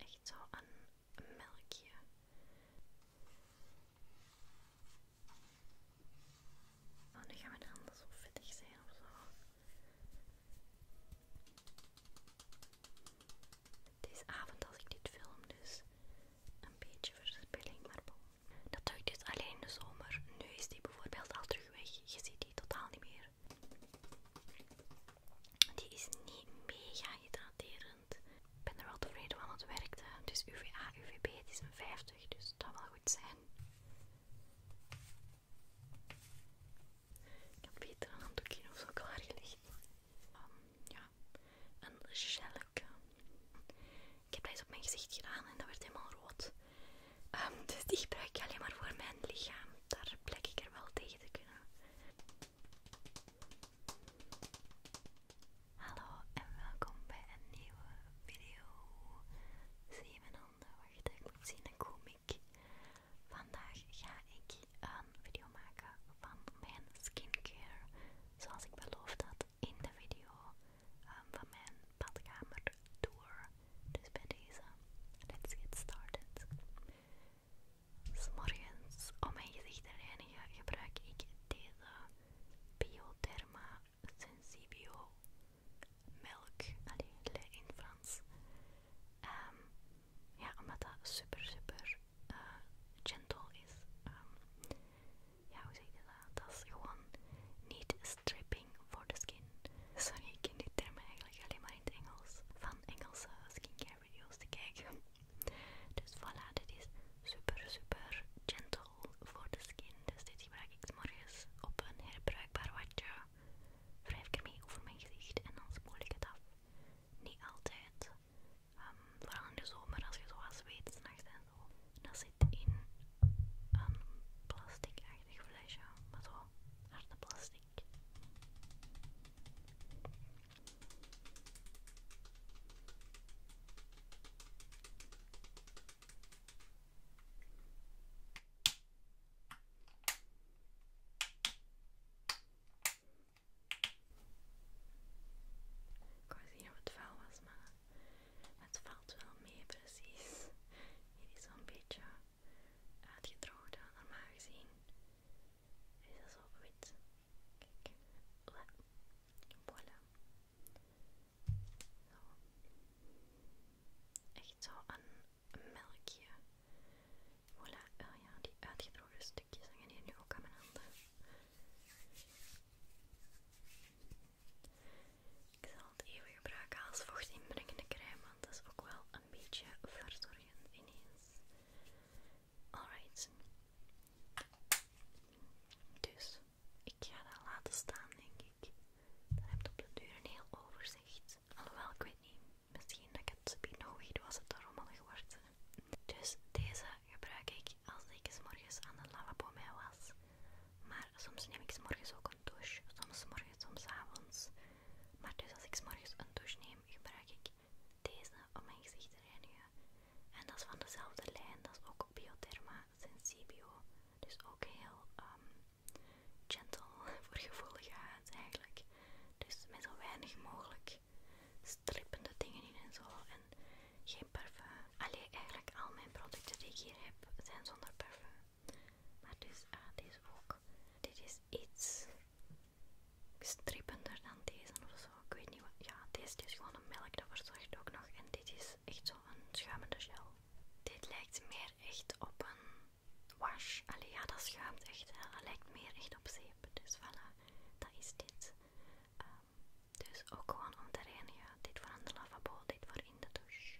Echt zo een melkje. Oh, nu gaan we er anders zo vettig zijn of zo. Het is avond als ik dit film, dus een beetje verspilling, maar bon. Dat duikt dus alleen de zomer. Nu is die bijvoorbeeld al terug weg. Je ziet die totaal niet meer. Die is niet mega hydraterend. Ik ben er wel tevreden van, het werkte. Dus UVA, UVB, het is een 50, dus dat wel goed zijn. Ik heb beter een handdoekje of zo klaargelegd. Ehm, ja, een gelke. Ik heb deze op mijn gezicht gedaan en dat werd helemaal rood. Ehm, dus die gebruik ik alleen maar voor mijn lichaam. Daar plek ik er wel tegen te kunnen. Hallo en welkom bij een nieuwe video. Zie je mijn handen? Wacht, ik moet zien, een kom ik. Vandaag ga ik een video maken van mijn skincare. Zoals ik beloofd had in de video Ehm, van mijn badkamer tour. Dus bij deze, let's get started. S morgens om mijn gezicht te reinigen gebruik ik deze Biotherma Sensibio Milk alleen in Frans. Ehm, ja, omdat dat super super eh, gentle is. Ehm, ja, hoe zeg je dat? dat is gewoon niet stripping voor de skin. Sorry, ik ken die term eigenlijk alleen maar in het Engels. Van Engelse skincare video's te kijken. Dus voilà, dit is super super gentle voor the skin. Dus dit gebruik ik morgens op een herbruikbaar watje. Wrijf ik mee over mijn gezicht en dan spoel ik het af. Niet altijd. Ehm, vooral in de zomer als je zoals weet, s'nachts en zo. Dat is in een plastic eigenlijk flesje, maar zo harde plastic. Ik wou zien of het vuil was, maar het valt wel mee precies. Hier is een beetje uitgedroogd normaal gezien. Is dat zo wit? Kijk. Voilà. Zo. Echt zo een melkje. Voilà. Oh ja, die uitgedroogde stukjes hangen hier nu ook aan mijn handen. Ik zal het even gebruiken als inbrengende crème, want dat is ook wel een beetje verzorgend ineens. Alright. Dus, ik ga dat laten staan, denk ik. Dan heb ik op de duur een heel overzicht. Alhoewel, ik weet niet. Misschien dat ik het binoogd was het er rommelig wordt. Dus deze gebruik ik als ik s morgens aan de lavabo mij was. Maar soms neem ik s morgens ook een douche. Soms morgens, soms avonds. Maar dus als ik s morgens een douche neem, gebruik ik deze om mijn gezicht te reinigen. En dat is van dezelfde lijn, dat is ook Biotherma Sensibio. Dus ook heel ehm, gentle voor gevoelige huid eigenlijk. Dus met zo weinig mogelijk strippende dingen in en zo. En geen parfum allee, eigenlijk al mijn producten die ik hier heb zijn zonder parfum. Maar dus, ah, deze ook. Dit is iets strippender dan deze of zo. Ik weet niet wat. Ja, deze is gewoon een melk, dat verzorgt ook nog. En dit is echt zo zo'n schuimende gel. Dit lijkt meer echt op een wash. Allee, ja, dat schuimt echt. Het lijkt meer echt op zeep. Dus voilà, dat is dit. Ehm, dus ook gewoon om te reinigen. Dit voor aan de lavabo, dit voor in de douche.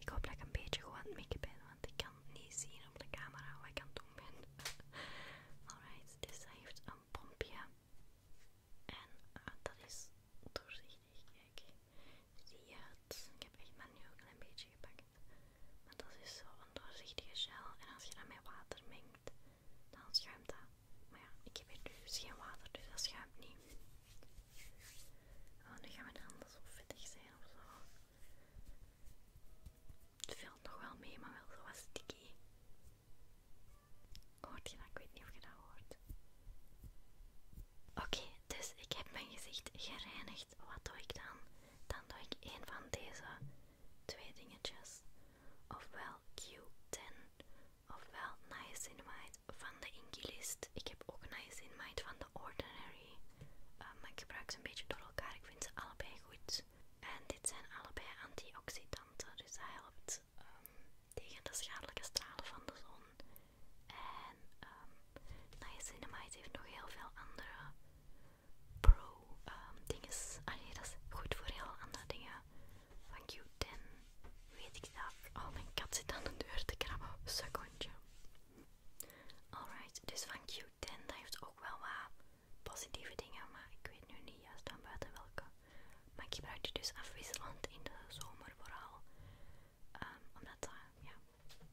Ik hoop dat ik een beetje gewoon aan het want ik kan niet zien op de camera wat ik aan het doen ben. Alright, dit dus heeft een pompje. En ah, dat is doorzichtig, kijk. Zie je het? Ik heb echt maar nu ook een klein beetje gepakt. Maar dat is zo'n doorzichtige gel. En als je dat met water mengt, dan schuimt dat. Maar ja, ik heb hier dus geen water, dus dat schuimt niet. Oh, nu gaan we de handen zo vettig zijn of zo. Het valt nog wel mee, maar wel zo wat sticky. Hoort je Ik weet niet of je dat hoort. Oké, dus ik heb mijn gezicht gereinigd. Wat doe ik dan? Dan doe ik een van deze twee dingetjes. Ofwel Q10, ofwel Nice niacinamide van de Inglist. Ik heb ook Nice niacinamide van de Ordinary. Eh, maar ik gebruik ze een beetje door elkaar. Ik vind ze allebei goed. En dit zijn allebei antioxidanten, dus dat helpt. Ehm, tegen de schadelijke stralen van de zon. En ehm, cinema niacinamide heeft nog heel veel andere pro-dingen. Ehm, um, Allee, dat is goed voor heel andere dingen. Van Q10 weet ik dat. Oh, mijn kat zit aan de deur te krabben. Secondje. Alright, dus van Q10, dat heeft ook wel wat positieve dingen, maar ik weet nu niet juist aan buiten welke. Maar ik gebruik die dus afwisselend in de zomer vooral. Ehm, omdat ja,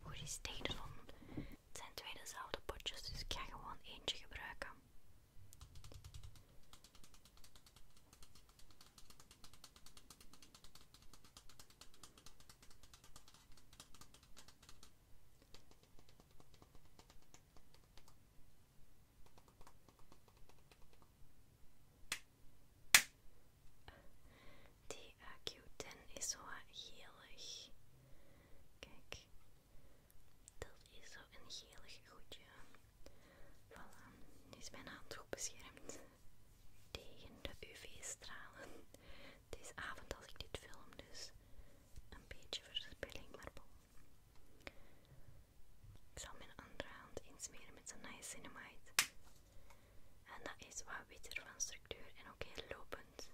goed is Het zijn twee dezelfde potjes, dus ik ga gewoon eentje gebruiken. Die AQ10 is zo gelig. Kijk, dat is zo een gelig goedje. Voilà, die is mijn hand goed beschermd tegen de UV-stralen. Het is avond als ik dit film, dus een beetje verspilling, maar bon. Ik zal mijn andere hand insmeren met een niacinamide. En dat is wat witter van structuur en ook heel lopend.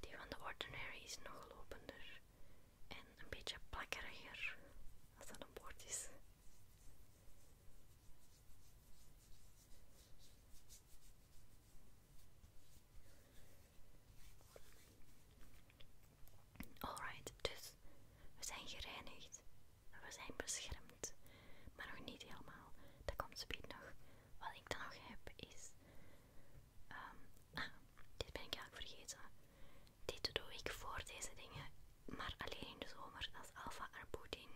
Die van de Ordinary is nog lopender en een beetje plakkeriger, als dat een bord is. Alright, dus we zijn gereinigd, we zijn beschermd, maar nog niet helemaal. Dat komt speed nog. Wat ik dan nog heb is. Ehm, ah, dit ben ik eigenlijk vergeten. Dit doe ik voor deze dingen, maar alleen in de zomer. Dat is Alpha Arbutin.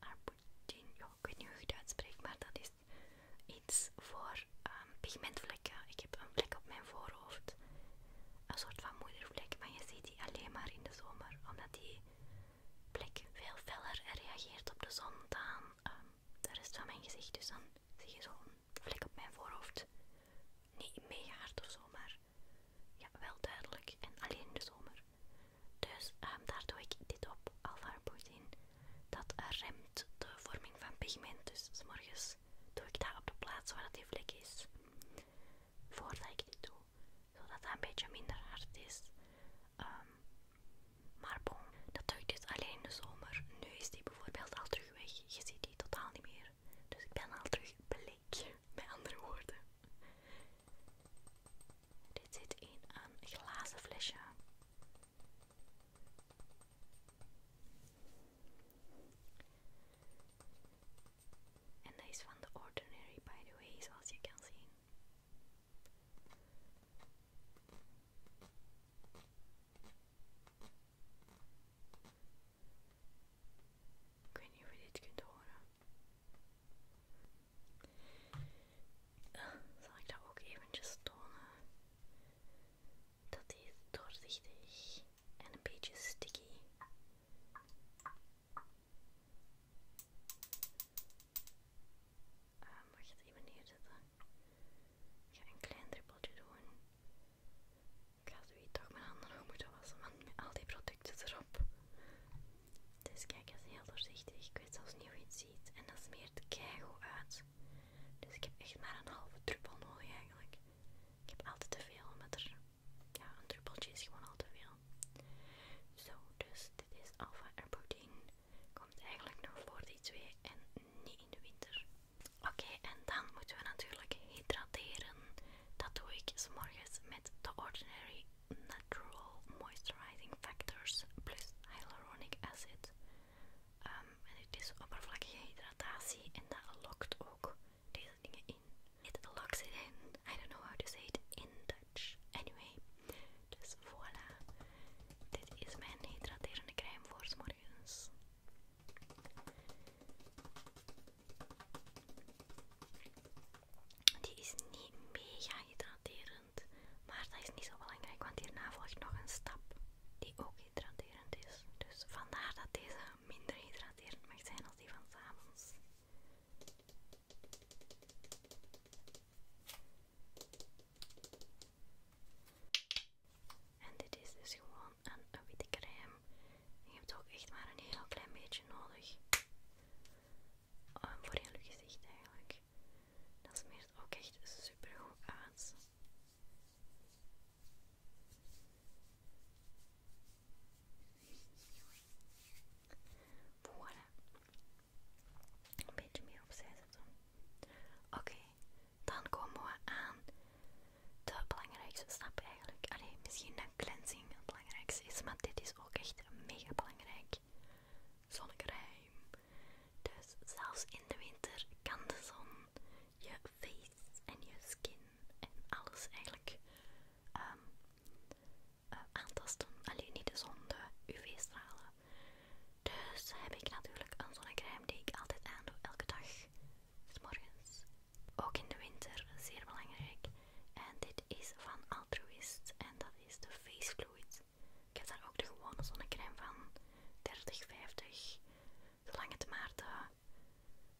Arbutin, ja, ik weet niet hoe je het uitspreekt, maar dat is iets voor Ehm, pigmentvlekken. Ik heb een vlek op mijn voorhoofd. Een soort van moedervlek, maar je ziet die alleen maar in de zomer. Omdat die plek veel feller reageert op de zon dan ehm, de rest van mijn gezicht. Dus dan zie je zo'n vlek op mijn voorhoofd. Niet mega hard of zo, maar ja, wel duidelijk. En alleen in de zomer. Dus ehm, daar doe ik dit op, alpha Dat remt de vorming van pigment. Dus s morgens doe ik dat op de plaats waar die vlek is. Voordat ik dit doe, zodat dat een beetje minder hard is. Ehm, maar bon, dat doe ik dus alleen in de zomer. Nu is die bijvoorbeeld al terug weg. Je ziet die totaal niet meer. Dus ik ben al terug bleek, met andere woorden. Dit zit in een glazen flesje. En deze is van The Ordinary, by the way, zoals je kan zien. Ik weet niet of je dit kunt horen. Ah, zal ik dat ook eventjes tonen? Dat is doorzichtig en een beetje sticky. Um, mag je het even neerzetten. Ik ga een klein druppeltje doen. Ik ga zo toch mijn handen nog moeten wassen, want met al die producten erop. Dus kijk, het is heel doorzichtig. Ik weet zelfs niet hoe je het ziet. En dat smeert keigoed uit. Dus ik heb echt maar een halve druppel nodig eigenlijk. Ik heb altijd te veel, met er ja, een druppeltje is gewoon al te veel. Zo, dus dit is alpha protein. Komt eigenlijk nog voor die twee en niet in de winter. Oké, en dan moeten we natuurlijk hydrateren. Dat doe ik s morgens met The Ordinary Natural Moisturizing Factors plus Hyaluronic Acid. Ehm, en het is oppervlakkige hydratatie en dat lokt ook deze dingen in. It locks it in. I don't know how to say it in Dutch. Anyway, dus voila, Dit is mijn hydraterende crème voor s morgens. Die is niet mega hydraterend, maar dat is niet zo belangrijk, want hierna volgt nog een stap die ook hydraterend is. Dus vandaar dat deze minder hydraterend mag zijn als die van s'avonds. En dit is dus gewoon een witte crème. Je hebt ook echt maar een heel klein beetje nodig. Um, voor heel je gezicht eigenlijk. Dat smeert ook echt super goed uit. Voilà. Een beetje meer opzij zetten. Oké, dan komen we aan de belangrijkste stap eigenlijk. alleen misschien dat cleansing het belangrijkste is, maar dit is ook echt mega belangrijk. Zonnecrème. Dus zelfs in de winter kan de zon je face en je skin en alles eigenlijk ehm, eh, aantasten. Alleen niet de zon, de UV-stralen. Dus heb ik natuurlijk een zonnecrème die ik altijd aandoe elke dag. s morgens. Ook in de winter, zeer belangrijk. En dit is van Altruist en dat is de Face Fluid. Ik heb daar ook de gewone zonnecrème van 30, 50, zolang het maar de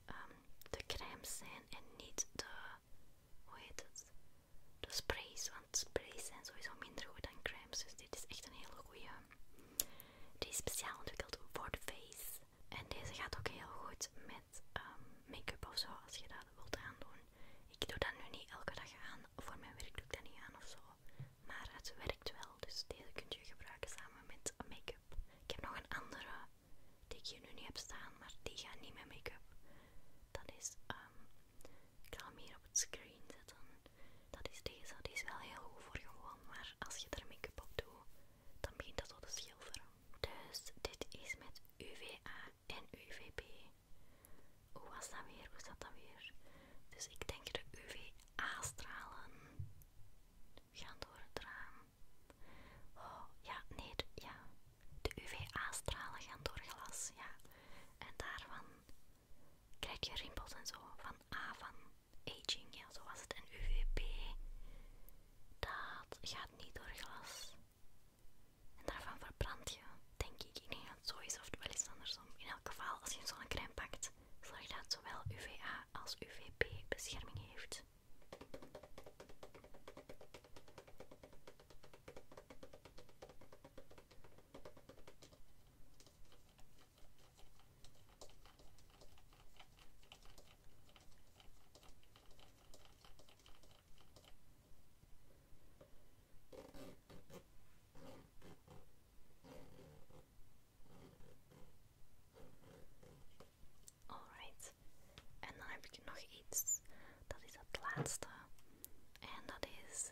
Ehm, de crèmes zijn en niet de, hoe heet het, de sprays. Want sprays zijn sowieso minder goed dan crèmes. Dus dit is echt een hele goede. Die is speciaal ontwikkeld voor de face. En deze gaat ook heel goed met ehm, make-up of zo, als je dat wilt aandoen. Ik doe dat nu niet elke dag aan. Voor mijn werk doe ik dat niet aan of zo. Maar het werkt wel, dus deze kun je gebruiken samen met make-up. Ik heb nog een andere die ik hier nu niet heb staan, maar die gaat niet met make-up. Dat is, ehm, ik zal hem hier op het screen zetten. Dat is deze, die is wel heel goed voor gewoon, maar als je er make-up op doet, dan begint dat al te schilderen. Dus dit is met UVA en UVB. Hoe was dat weer? Hoe staat dat weer? Dus ik denk de UVA-stralen gaan door het raam. Oh, ja, nee, de, ja. De UVA-stralen gaan door glas, ja. En daarvan krijg je rimpels en zo. Van A, van aging, ja, zo was het. En UVB, dat gaat niet door glas. En daarvan verbrand je, denk ik. Ik denk dat zo is, of het wel iets andersom. In elk geval, als je zo'n crème pakt, zorg dat zowel UVA als UVP bescherming heeft. Alright. En dan heb ik nog iets. Dat is het laatste. En dat is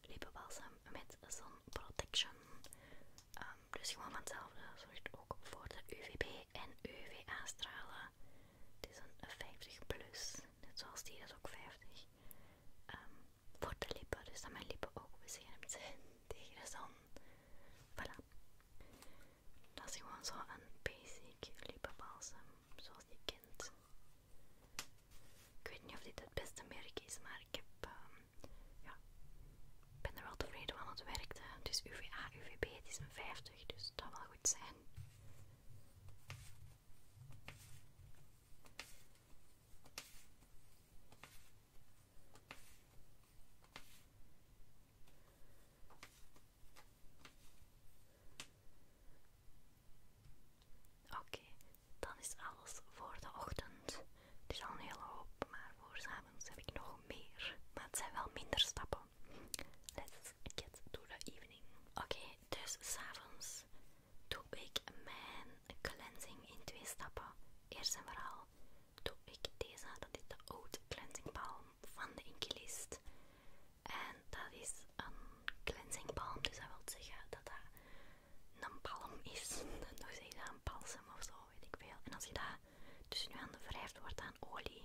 lippenbalsem met Sun Protection. Ehm, dus gewoon van hetzelfde. Zorgt ook voor de UVB en UVA-stralen. Het is een 50 plus. Net zoals die is ook 50. Ehm, voor de lippen. Dus dat mijn lippen ook beschermd zijn tegen de zon. Voilà. Dat is gewoon zo'n basic lippenbalsem, zoals je kent. Ik weet niet of dit het beste merk is, maar ik heb, ehm, ja, ben er wel tevreden van het werkte. Het is UVA, UVB, het is een 50, dus dat zal wel goed zijn. Oké, dan is alles voor de ochtend. Het is al een hele hoop, maar voor s avonds heb ik nog meer. Maar het zijn wel minder stappen. Let's get to the evening. Oké, dus dus s'avonds doe ik mijn cleansing in twee stappen. Eerst en vooral doe ik deze. Dat is de Oud Cleansing palm van de Inkilist. En dat is een cleansing palm dus dat wil zeggen dat dat een palm is. Dan zeg je dat een balsem of zo, weet ik veel. En als je dat tussen aan de wrijft, wordt aan olie.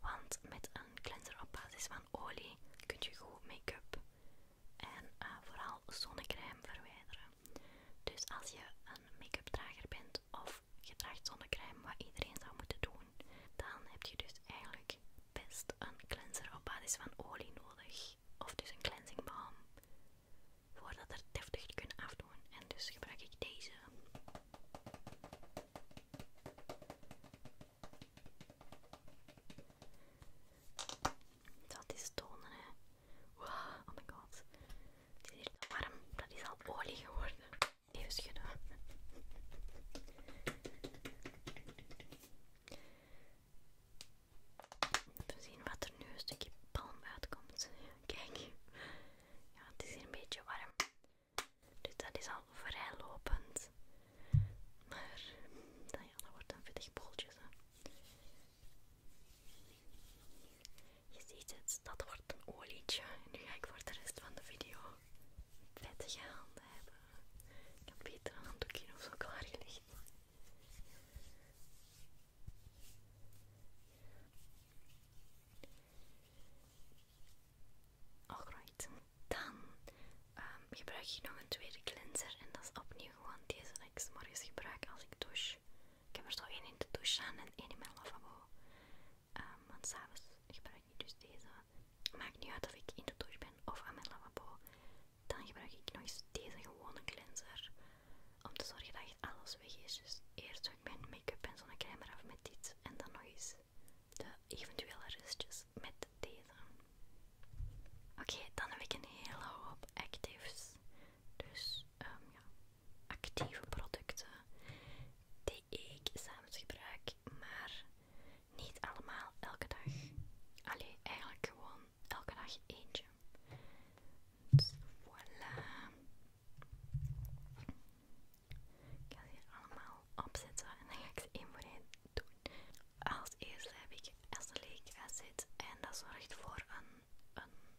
Want met een cleanser op basis van olie kun je goed make-up en eh, vooral zonnecrème verwijderen. Dus als je een make-up drager bent of je draagt zonnecrème, wat iedereen zou moeten doen, dan heb je dus eigenlijk best een cleanser op basis van olie nodig. Of dus een cleansing balm. Voordat er deftig te kunnen afdoen. En dus gebruik ik deze. Dat is tonen, hè. Wow, oh my god. Het is hier warm. Dat is al olie geworden. Even schudden. Even zien wat er nu een stukje palm uitkomt. Kijk. Ja, het is hier een beetje warm. Dus dat is al vrij lopend. Maar, dan ja, dat wordt een vettig boeltje. Je ziet het, dat wordt een olietje. Nu ga ik voor de rest van de video vettige handen hebben. Ik heb beter een handdoekje of zo klaar klaargelegd. Alright, dan ehm, gebruik ik nog een tweede cleanser en dat is opnieuw gewoon deze dat ik morgens gebruik als ik douche. Ik heb er zo één in de douche staan en één in mijn lavabo. want ehm, want s'avonds gebruik ik dus deze. Maakt niet uit of ik in de douche ben of aan mijn lavabo. Dan gebruik ik nog eens deze gewone cleanser. Om te zorgen dat alles weg is. Dus eerst doe ik mijn make-up en zonnecrème eraf met dit. En dan nog eens de eventuele restjes met deze. Oké, dan heb ik een hele hoop actives. Dus Ehm, actieve producten die ik samen gebruik, maar niet allemaal elke dag. Allee, eigenlijk gewoon elke dag eentje. Dus Voila. Ik ga ze hier allemaal opzetten en dan ga ik ze één voor één doen. Als eerste heb ik Esselake Acid en dat zorgt voor een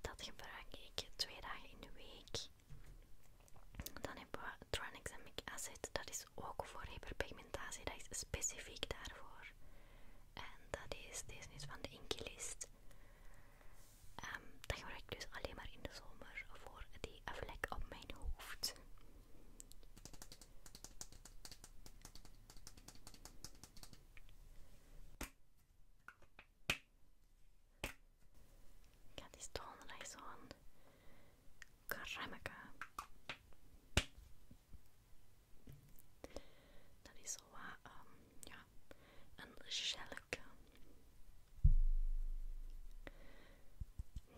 Dat gebruik ik twee dagen in de week. Dan hebben we Tranexamic Acid. Dat is ook voor hyperpigmentatie. Dat is specifiek daarvoor. En dat is, deze is van de Inkylist. Ehm, dat gebruik ik dus alleen maar in de zomer voor die vlek op mijn hoofd. Ik had die donderdag zo'n kremmeke. Dat is wel wat, ehm, ja, een gelke.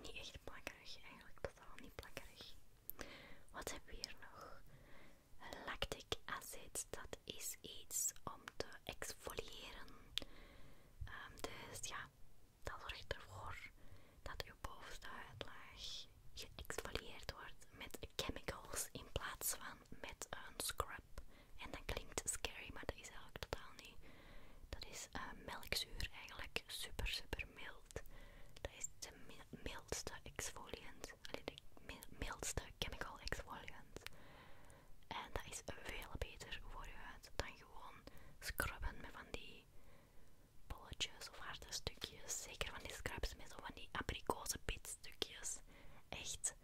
Niet echt plakkerig, eigenlijk totaal niet plakkerig. Wat hebben we hier nog? Lactic acid, dat is iets om te exfoliëren. Ehm, dus ja, dat zorgt ervoor dat je bovenste huidlaag geëxfolieerd wordt met chemicals in plaats van met een scrub. En dat klinkt scary, maar dat is eigenlijk totaal niet. Dat is eh, melkzuur eigenlijk, super super mild. Dat is de mildste exfoliant mild, de mildste chemical exfoliant. En dat is veel beter voor je huid dan gewoon scrubben met van die bolletjes of harde stukjes. Zeker van die scrubs met zo van die abrikozenpitstukjes. Echt,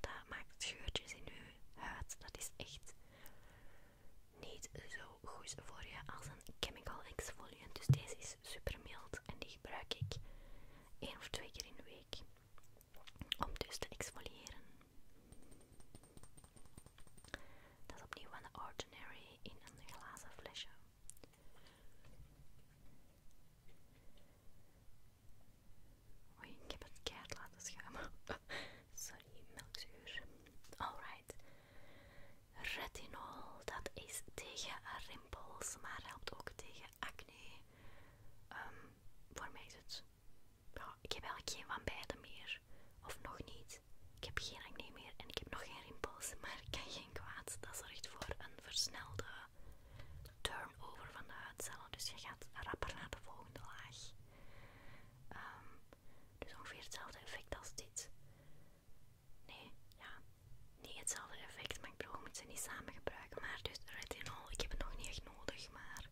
dat maakt scheurtjes in je huid. Dat is echt niet zo goed voor je als een chemical exfoliant. Dus deze is super mild en die gebruik ik één of twee keer in de week om dus te exfoliëren. Dat is opnieuw van de Ordinary in een glazen flesje. Oei, ik heb het keihard laten schuimen. Sorry, melkzuur. Alright. Retinol, dat is tegen rimpels, maar helpt ook tegen acne. voor ehm, mij is het... ik heb eigenlijk geen van beide meer. Of nog niet. Ik heb geen acne meer en ik heb nog geen rimpels. Maar ik kan geen kwaad. Dat zorgt voor een versnelde turnover van de huidcellen. Dus je gaat rapper naar de volgende laag. Ehm, dus ongeveer hetzelfde effect als dit. Nee, ja niet hetzelfde effect, maar ik bedoel, ik moet ze niet samen gebruiken. Maar dus retinol, ik heb het nog niet echt nodig, maar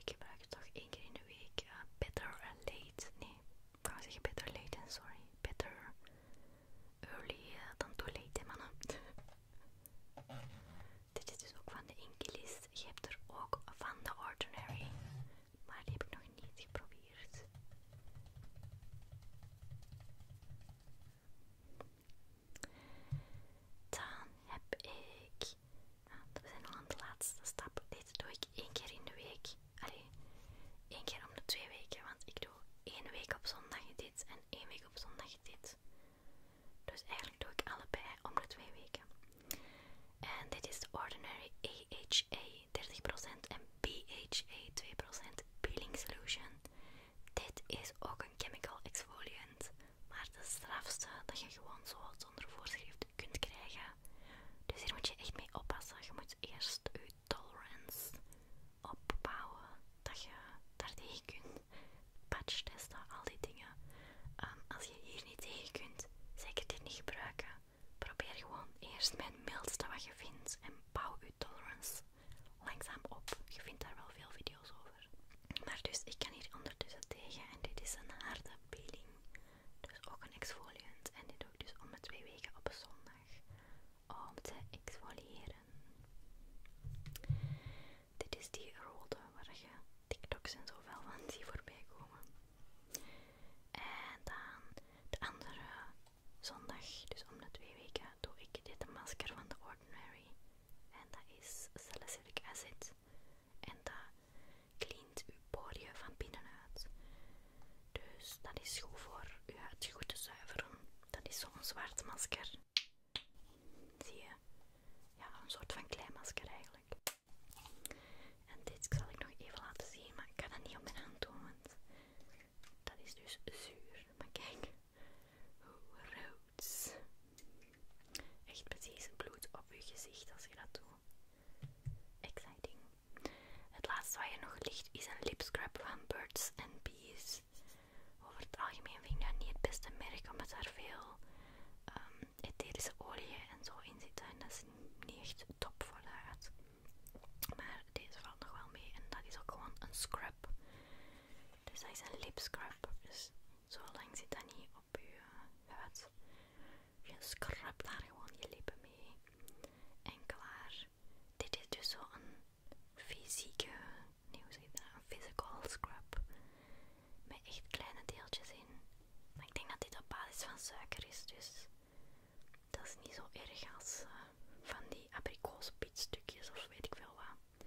ik gebruik het toch één keer in de week. Eh, better late, nee, ik kan zeggen better late sorry. Better early eh, dan too late, hè, Dit is dus ook van de List. Je hebt er ook van de Ordinary, maar die heb ik nog niet geprobeerd. Dan heb ik, ah, we zijn al aan de laatste stap, dit doe ik één keer in de week. Alleen één keer om de twee weken, want ik doe één week op zondag dit en één week op zondag dit. Dus eigenlijk doe ik allebei om de twee weken. En dit is de Ordinary AHA 30% en BHA 2% Peeling Solution. Dit is ook een chemical exfoliant, maar de strafste dat je gewoon zo zonder voorschrift kunt krijgen. Dus hier moet je echt mee oppassen. Je moet eerst je tolerance opbouwen, dat je daar tegen kunt. Patch testen, al die dingen. Ehm, als je hier niet tegen kunt, zeker dit niet gebruiken. Probeer gewoon eerst met het mildste wat je vindt en bouw je tolerance langzaam op. Je vindt daar wel veel video's over. Maar dus, ik kan hier ondertussen tegen en dit is een harde peeling. Dus ook een exfoliant. En dit doe ik dus om de twee weken op zondag. Om te exfoliëren. Dit is die rode waar je TikToks en zoveel van die voorbij komen. En dan de andere zondag, dus om de twee weken, doe ik dit masker van The Ordinary. En dat is salicylic acid. En dat cleant uw poriën van binnenuit. Dus dat is goed voor uw huid goed te zuiveren. Dat is zo'n zwart masker. Zie je? Ja, een soort van kleimasker eigenlijk. En dit zal ik nog even laten zien, maar ik ga dat niet op mijn hand doen, want dat is dus zuur. Maar kijk, hoe rood Echt precies bloed op je gezicht als je dat doet. Exciting. Het laatste wat je nog licht is een scrub van Birds and Bees. Over het algemeen vind ik dat niet het beste merk omdat daar veel um, etherische oliën en zo in zitten. En dat is niet echt top voor de huid. Maar deze valt nog wel mee en dat is ook gewoon een scrub. Dus dat is een lipscrub. Dus zo lang zit dat niet op je huid. Je scrubt daar gewoon je lippen mee. En klaar. Dit is dus zo'n fysieke, nee hoe zeg je dat, een physical scrub. Met echt kleine deeltjes in. Maar ik denk dat dit op basis van suiker is, dus dat is niet zo erg als eh, van die abrikozenpietstukjes of weet ik veel wat.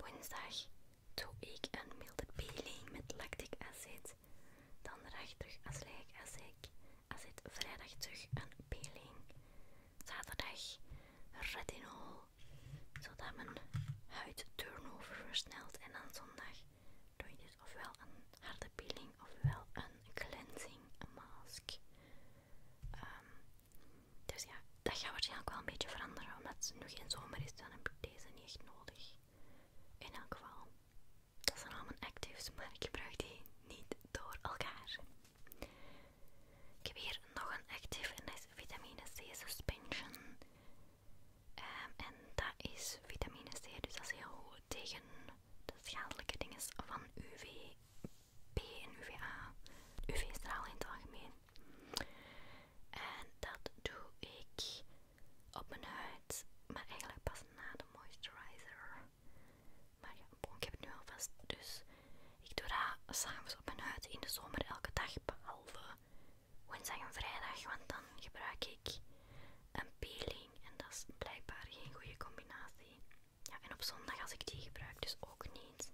Woensdag doe ik een milde peeling met lactic acid. Dan terug azelaic acid. acid. Vrijdag terug een peeling. Zaterdag retinol, zodat mijn huid turnover versnelt. En dan zondag doe je dus ofwel een harde peeling ofwel een cleansing mask. Um, dus ja, dat gaat waarschijnlijk wel een beetje veranderen, omdat het nu geen zomer is, dan heb ik deze niet nodig. In elk geval, dat zijn allemaal actives, maar ik gebruik die niet door elkaar. Ik heb hier nog een active en dat is vitamine C suspension. Ehm, en dat is vitamine C, dus dat is heel goed tegen de schadelijke dingen van UV P en UVA, UV-straal in het algemeen. En dat doe ik op mijn huid, maar eigenlijk pas na de moisturizer. Maar ja, ik heb het nu alvast, dus ik doe dat s'avonds op mijn huid in de zomer elke dag, behalve woensdag en vrijdag, want dan gebruik ik een peeling en dat is blijkbaar geen goede combinatie. Ja, en op zondag als ik die gebruik, dus ook niet.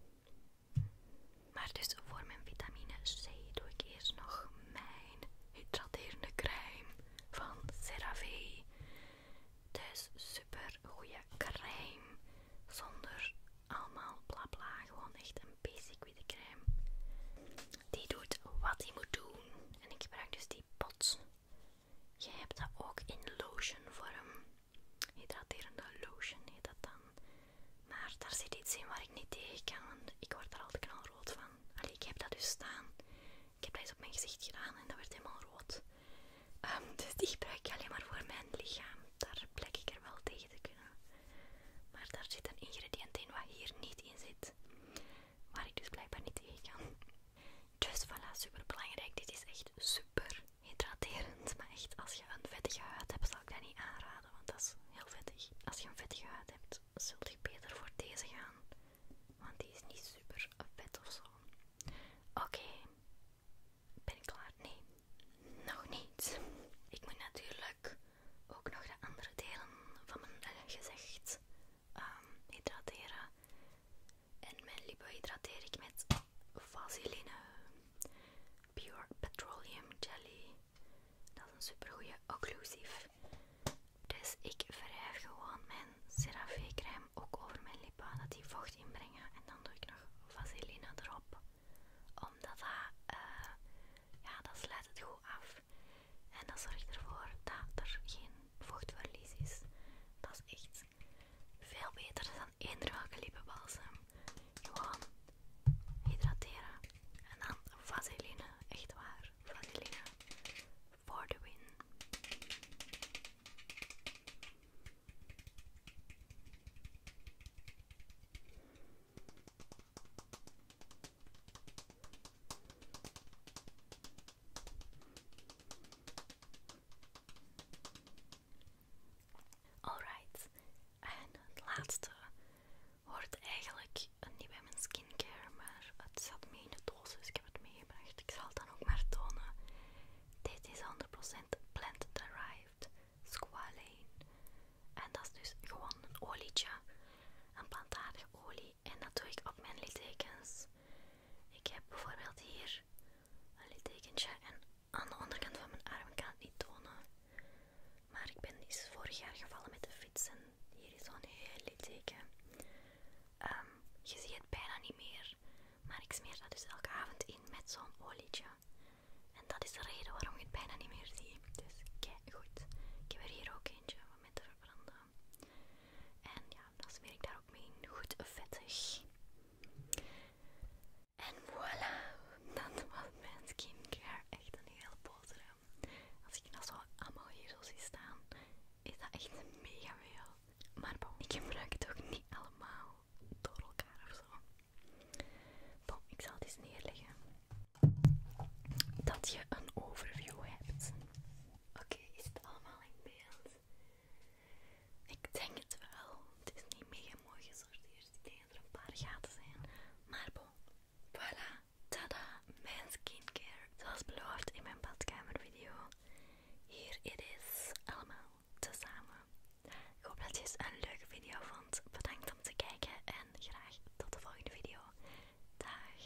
Maar dus voor mijn vitamine C doe ik eerst nog mijn hydraterende crème van CeraVe. Dus super goede crème. Zonder allemaal blabla. Bla, gewoon echt een basic witte crème. Die doet wat hij moet doen. En ik gebruik dus die pot. Je hebt dat ook in lotion vorm hydraterende lotion heet dat dan. Maar daar zit iets in waar ik niet tegen kan, want ik word daar altijd rood van. Allee, ik heb dat dus staan. Ik heb deze op mijn gezicht gedaan en dat werd helemaal rood. Ehm, dus die gebruik ik alleen maar voor mijn lichaam. Daar plek ik er wel tegen te kunnen. Maar daar zit een ingrediënt in wat hier niet in zit. Waar ik dus blijkbaar niet tegen kan. Dus voilà, super belangrijk. Dit is echt super hydraterend. Maar echt, als je een vettige huid hebt, zal ik dat niet aanraden, want dat is heel vettig. Als je een vettige huid hebt, zult je beter voor deze gaan. Want die is niet super vet of zo. Oké. Ben ik klaar? Nee. Nog niet. Ik moet natuurlijk ook nog de andere delen van mijn eh, gezicht ehm, hydrateren. En mijn lippen hydrateer ik met vaseline. Pure Petroleum Jelly. Dat is een supergoeie occlusief. Dus ik wrijf gewoon mijn CeraVe crème ook over mijn lippen, dat die vocht inbrengen. En dan doe ik nog vaseline erop. Omdat dat, eh, ja, dat sluit het goed af. En dat zorgt ervoor dat er geen vochtverlies is. Dat is echt veel beter dan dan eender Gewoon hydrateren. En dan vaseline. Echt waar. Vaseline. voor de wind. Alright, en het laatste wordt eigenlijk niet bij mijn skincare, maar het zat mee in de doos, dus ik heb het meegebracht. Ik zal het dan ook maar tonen. Dit is 100% plant derived squalane. En dat is dus gewoon een olietje, een plantaardige olie. En dat doe ik op mijn littekens. Ik heb bijvoorbeeld hier een littekentje en aan de onderkant van mijn arm, kan het niet tonen. Maar ik ben iets dus vorig jaar gevallen met de fiets en hier is zo'n heel teken. Ehm, je ziet het bijna niet meer, maar ik smeer dat dus elke avond in met zo'n olietje. En dat is de reden waarom je het bijna niet meer ziet. Dus kijk goed. Ik heb er hier ook eentje om met te verbranden. En ja, dan smeer ik daar ook mee in. Goed vettig. En voilà, dat was mijn skincare. Echt een heel boterham. Als ik nou zo allemaal hier zo zie staan, is dat echt mega veel. Maar bon, ik gebruik het ook niet allemaal door elkaar of zo. Bon, ik zal het eens neerleggen. Dat je een overview hebt. Oké, is het allemaal in beeld? Ik denk het wel. Het is niet mega mooi gesorteerd. Ik denk dat er een paar gaten zijn. Maar bon. Voilà. Tada. Mijn skincare. Zoals beloofd in mijn video. Hier it is. Allemaal te samen. Ik hoop dat je het een leuke video vond. Bedankt om te kijken. En graag tot de volgende video. Dag.